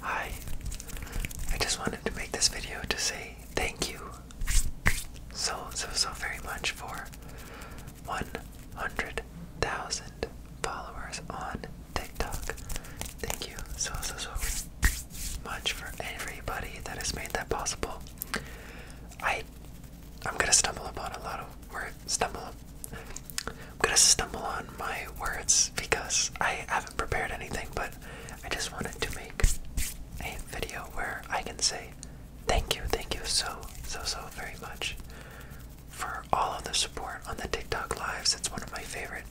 Hi, I just wanted to make this video to say thank you so, so, so very much for 100,000 followers on TikTok. Thank you so, so, so much for everybody that has made that possible. I, I'm gonna stumble upon a lot of words stumble. I'm gonna stumble on my words because I haven't prepared anything, but I just wanted to make a video where I can say thank you, thank you so, so, so very much for all of the support on the TikTok Lives. It's one of my favorite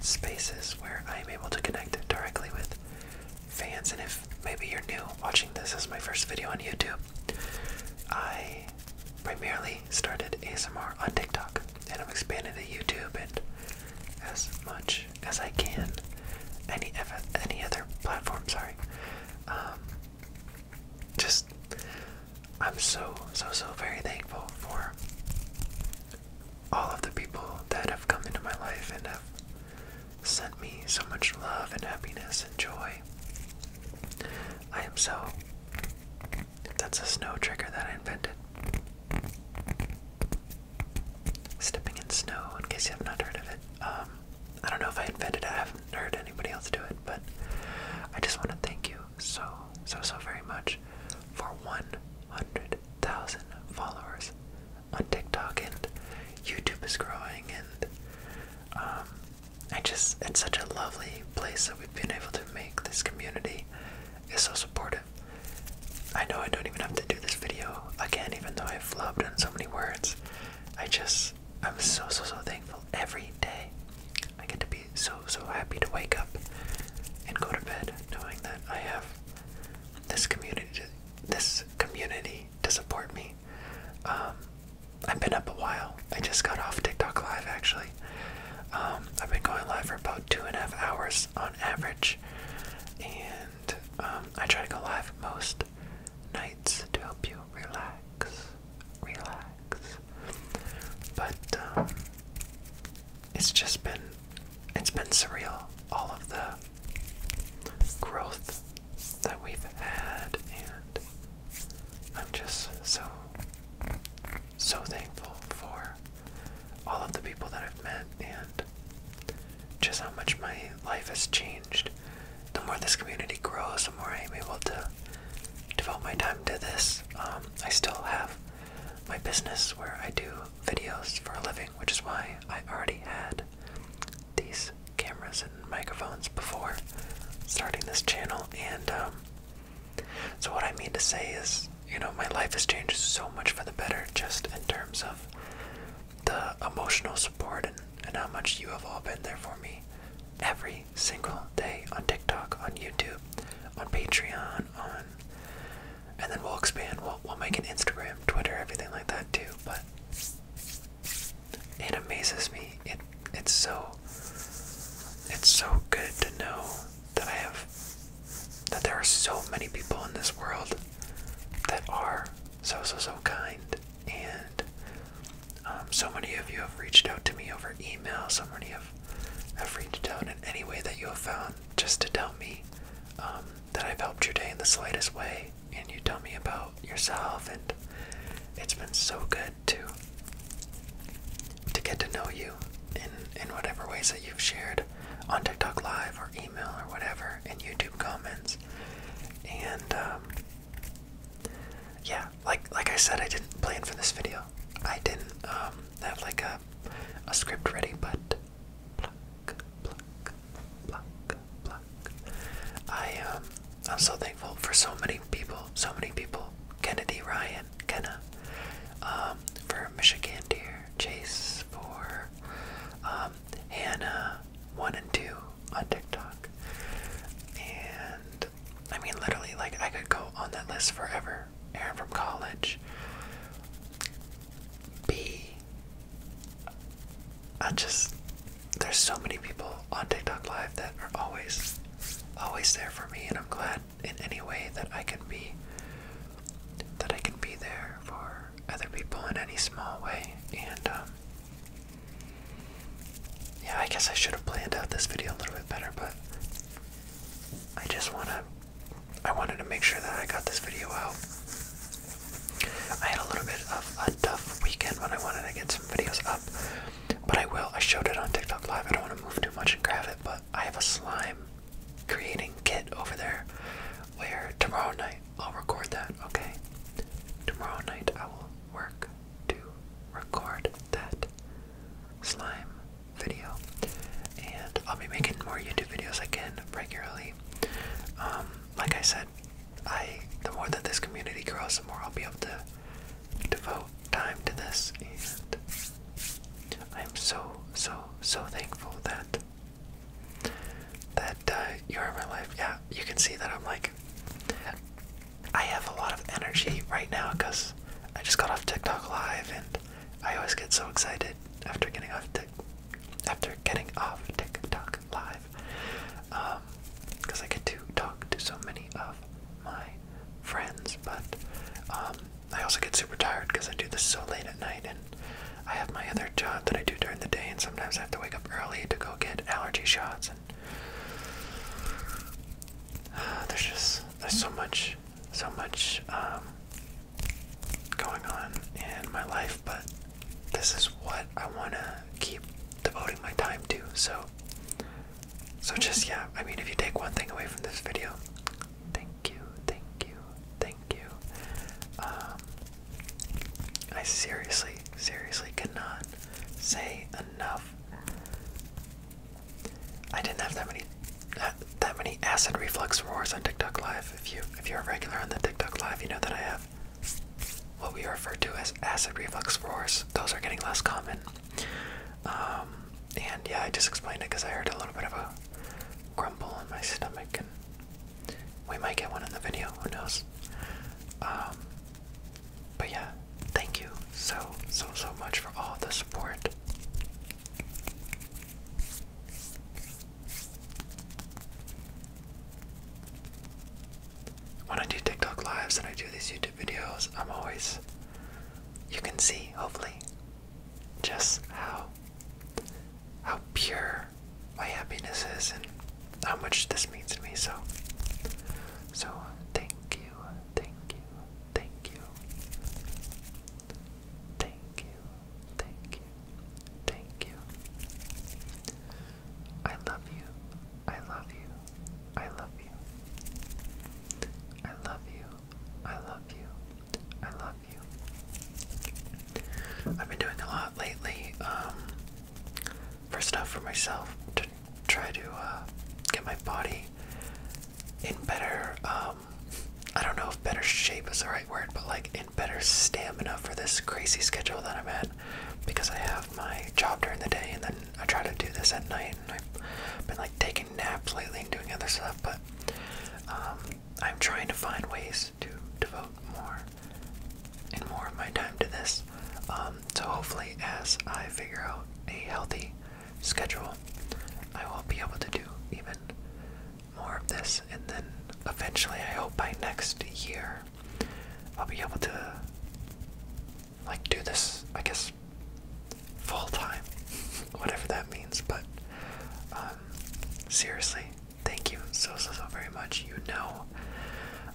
spaces where I am able to connect directly with fans. And if maybe you're new watching this is my first video on YouTube, I primarily started ASMR on TikTok and I'm expanding to YouTube and as much as I can. Any other platform, sorry. Um, just I'm so so so very thankful for all of the people that have come into my life and have sent me so much love and happiness and joy. I am so that's a snow trigger that I invented. Stepping in snow, in case you have not heard of it. Um, I don't know if I invented it, I haven't heard anybody else do it, but I just want to thank you so, so, so very much for 100,000 followers on TikTok, and YouTube is growing, and um, I just, it's such a lovely place that we've been able to make this community is so supportive. I know I don't even have to do this video again, even though I have flubbed on so many words. I just, I'm so, so, so thankful every day. I get to be so, so happy to wake up and go to bed knowing that I have this community, this community to support me. Um, I've been up a while. I just got off TikTok Live actually. Um, I've been going live for about two and a half hours on average, and um, I try to go live most nights to help you relax, relax. But um, it's just been, it's been surreal. All of the growth that we've had and I'm just so, so thankful for all of the people that I've met and just how much my life has changed. The more this community grows, the more I'm able to devote my time to this. Um, I still have my business where I do videos for a living, which is why I already had these cameras and microphones before starting this channel. And um, so, what I mean to say is, you know, my life has changed so much for the better just in terms of the emotional support and, and how much you have all been there for me every single day on TikTok, on YouTube, on Patreon, on. And then we'll expand, we'll, we'll make an Instagram, Twitter, everything like that too, but it amazes me. It it's so it's so good to know that I have that there are so many people in this world that are so so so kind and um, so many of you have reached out to me over email so many have, have reached out in any way that you have found just to tell me um, that i've helped your day in the slightest way and you tell me about yourself and it's been so good to to get to know you in in whatever ways that you've shared on TikTok Live or email or whatever in YouTube comments. And um, yeah, like like I said, I didn't plan for this video. I didn't um, have like a a script ready, but I um, I'm so thankful for so many people, so many people. Kennedy Ryan, Kenna um, for Michigan Deer, Chase for um, Hannah 1 and 2 on TikTok. And I mean, literally, like, I could go on that list forever. Aaron from college. B. I just, there's so many people on TikTok Live that are always, always there for me, and I'm glad in any way that I can be that I can be there for other people in any small way and um, yeah, I guess I should have planned out this video a little bit better, but I just want to I wanted to make sure that I got this video out. I had a little bit of a tough weekend when I wanted to get some videos up, but I will. I showed it on TikTok live. I don't want to move too much and grab it but I have a slime creating kit over there where tomorrow night I'll record that, okay? Tomorrow night I will work to record that slime video. And I'll be making more YouTube videos again regularly. Um, like I said, I the more that this community grows, the more I'll be able to devote time to this, and I'm so, so, so thankful that that uh, you're in my life. Yeah, you can see that I'm like, I have a lot of energy right now because I just got off TikTok live, and I always get so excited after getting off TikTok. After getting off TikTok live, because um, I get to talk to so many of my friends, but um, I also get super tired because I do this so late at night, and I have my other job that I do during the day, and sometimes I have to wake up early to go get allergy shots. And there's just there's so much, so much um, going on in my life, but this is what I want to keep devoting my time to. So so just yeah, I mean if you take one thing away from this video, thank you, thank you, thank you. Um I seriously, seriously cannot say enough. I didn't have that many that, that many acid reflux roars on TikTok live. If you if you're a regular on the TikTok live, you know that I have what we refer to as acid reflux roars. Those are getting less common. Um, and yeah, I just explained it because I heard a little bit of a grumble in my stomach, we might get one in the video, who knows? Um, but yeah, thank you so, so, so much for all the support. When I do TikTok lives and I do these YouTube videos, I'm always, you can see, hopefully, just how how pure my happiness is and how much this means to me. So, so thank you, thank you, thank you, thank you, thank you, thank you. I love you, I love you, I love you, I love you, I love you. I love you. I've been doing a lot lately um, First off, for myself to try to uh, get my body in better. Um, I don't know if better shape is the right word, but like in better stamina for this crazy schedule that I'm at because I have my job during the day and then I try to do this at night I've been like taking naps lately and doing other stuff. But um, I'm trying to find ways to devote more and more of my time to this. Um, so hopefully, as I figure out a healthy schedule, I will be able to do even more of this, and then eventually, I hope by next year, I'll be able to like do this. I guess full time, whatever that means. But um, seriously, thank you so, so, so very much. You know,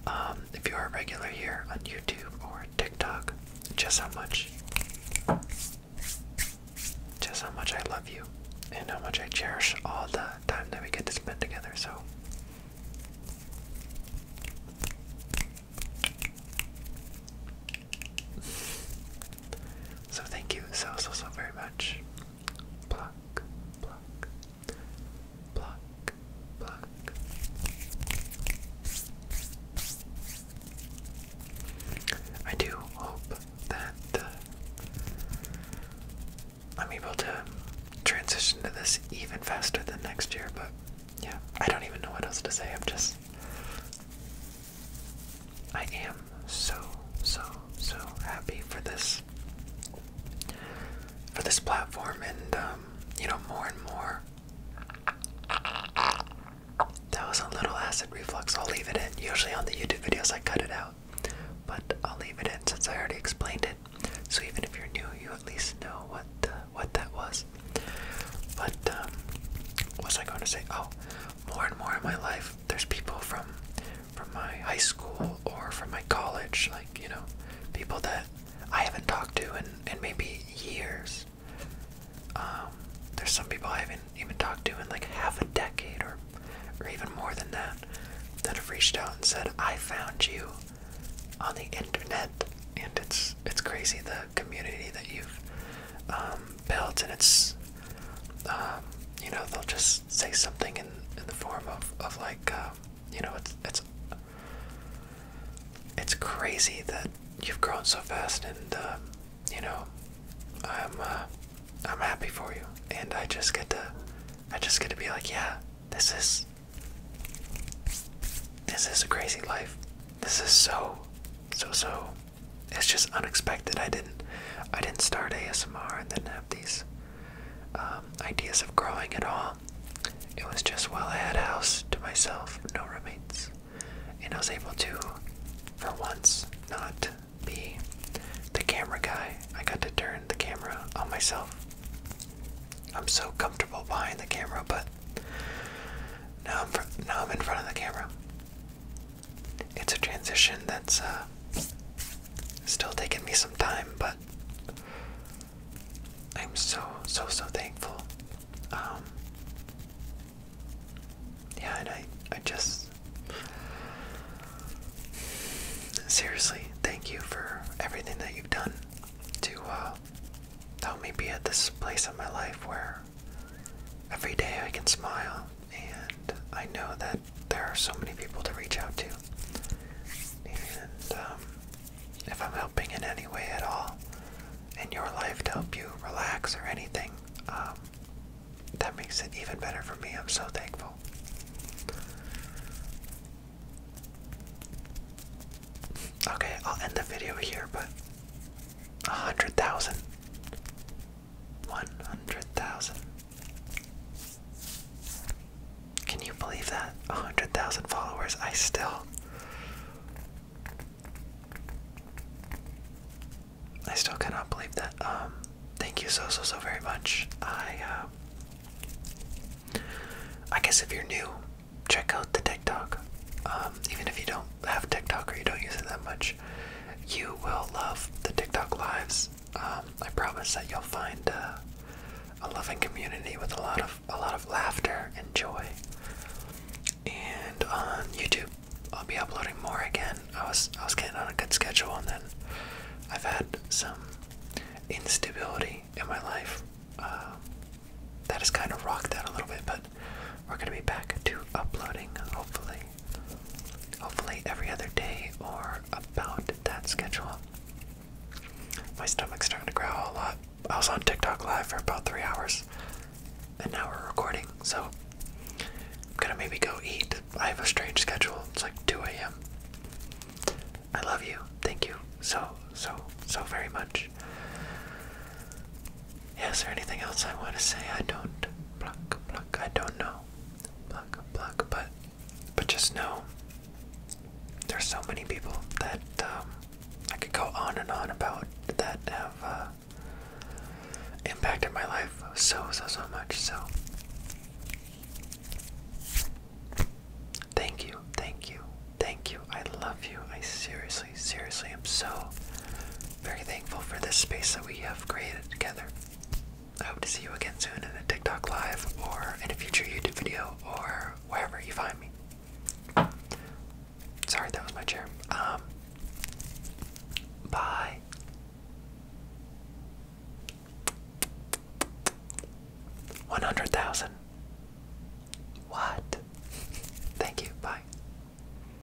um, if you are a regular here on YouTube or TikTok, just how much, just how much I love you and how much I cherish all the time that we get to spend together. So so thank you so so so very much. Pluck, pluck, pluck, pluck. I do hope that uh, I'm able to transition to this even faster than next year, but yeah, I don't even know what else to say. I'm just I am so, so, so happy for this, for this platform, and um, you know, more and more. That was a little acid reflux. I'll leave it in. Usually on the YouTube videos, I cut it out, but I'll leave it in since I already explained it. So even if you're new, you at least know what uh, what that was. But um, what was I going to say? Oh, more and more in my life, there's people from from my high school or from my college, like you know, people that I haven't talked to in in maybe years. Um, there's some people I haven't even talked to in like half a decade or or even more than that that have reached out and said, "I found you on the internet," and it's it's crazy the community that you've um, built, and it's um, you know they'll just say something in in the form of of like uh, you know it's it's it's crazy that you've grown so fast, and uh, you know I'm uh, I'm happy for you, and I just get to I just get to be like yeah this is this is a crazy life. This is so so so it's just unexpected. I didn't I didn't start ASMR and then have these um, ideas of growing at all. It was just while I had a house to myself, no roommates, and I was able to, for once, not be the camera guy. I got to turn the camera on myself. I'm so comfortable behind the camera, but now I'm, now I'm in front of the camera it's a transition that's uh, still taking me some time, but I'm so, so, so thankful. Um, yeah, and I, I just seriously thank you for everything that you've done to uh, help me be at this place in my life where Every day I can smile, and I know that there are so many people to reach out to. And um, if I'm helping in any way at all in your life to help you relax or anything, um, that makes it even better for me. I'm so thankful. Okay, I'll end the video here, but a hundred thousand. One hundred thousand. Can you believe that? A hundred thousand followers. I still I still cannot believe that. Um thank you so so so very much. I uh I guess if you're new, check out the TikTok. Um even if you don't have TikTok or you don't use it that much, you will love the TikTok lives. Um, I promise that you'll find uh, a loving community with a lot of a lot of laughter and joy. And on YouTube, I'll be uploading more again. I was I was getting on a good schedule, and then I've had some instability in my life um, that has kind of rocked that a little bit. But we're gonna be back to uploading, hopefully hopefully every other day or about that schedule. My stomach's starting to growl a lot. I was on TikTok live for about three hours, and now we're recording, so I'm gonna maybe go eat. I have a strange schedule. It's like 2 a.m. I love you. Thank you so, so, so very much is there anything else I want to say? I don't pluck pluck. I don't know. Pluck pluck. But but just know there's so many people that um, I could go on and on about that have uh, impacted my life so so so much. So thank you, thank you, thank you. I love you. I seriously, seriously am so very thankful for this space that we have created together. I hope to see you again soon in a TikTok live or in a future YouTube video or wherever you find me. Sorry, that was my chair. Um, bye. One hundred thousand. What? Thank you. Bye.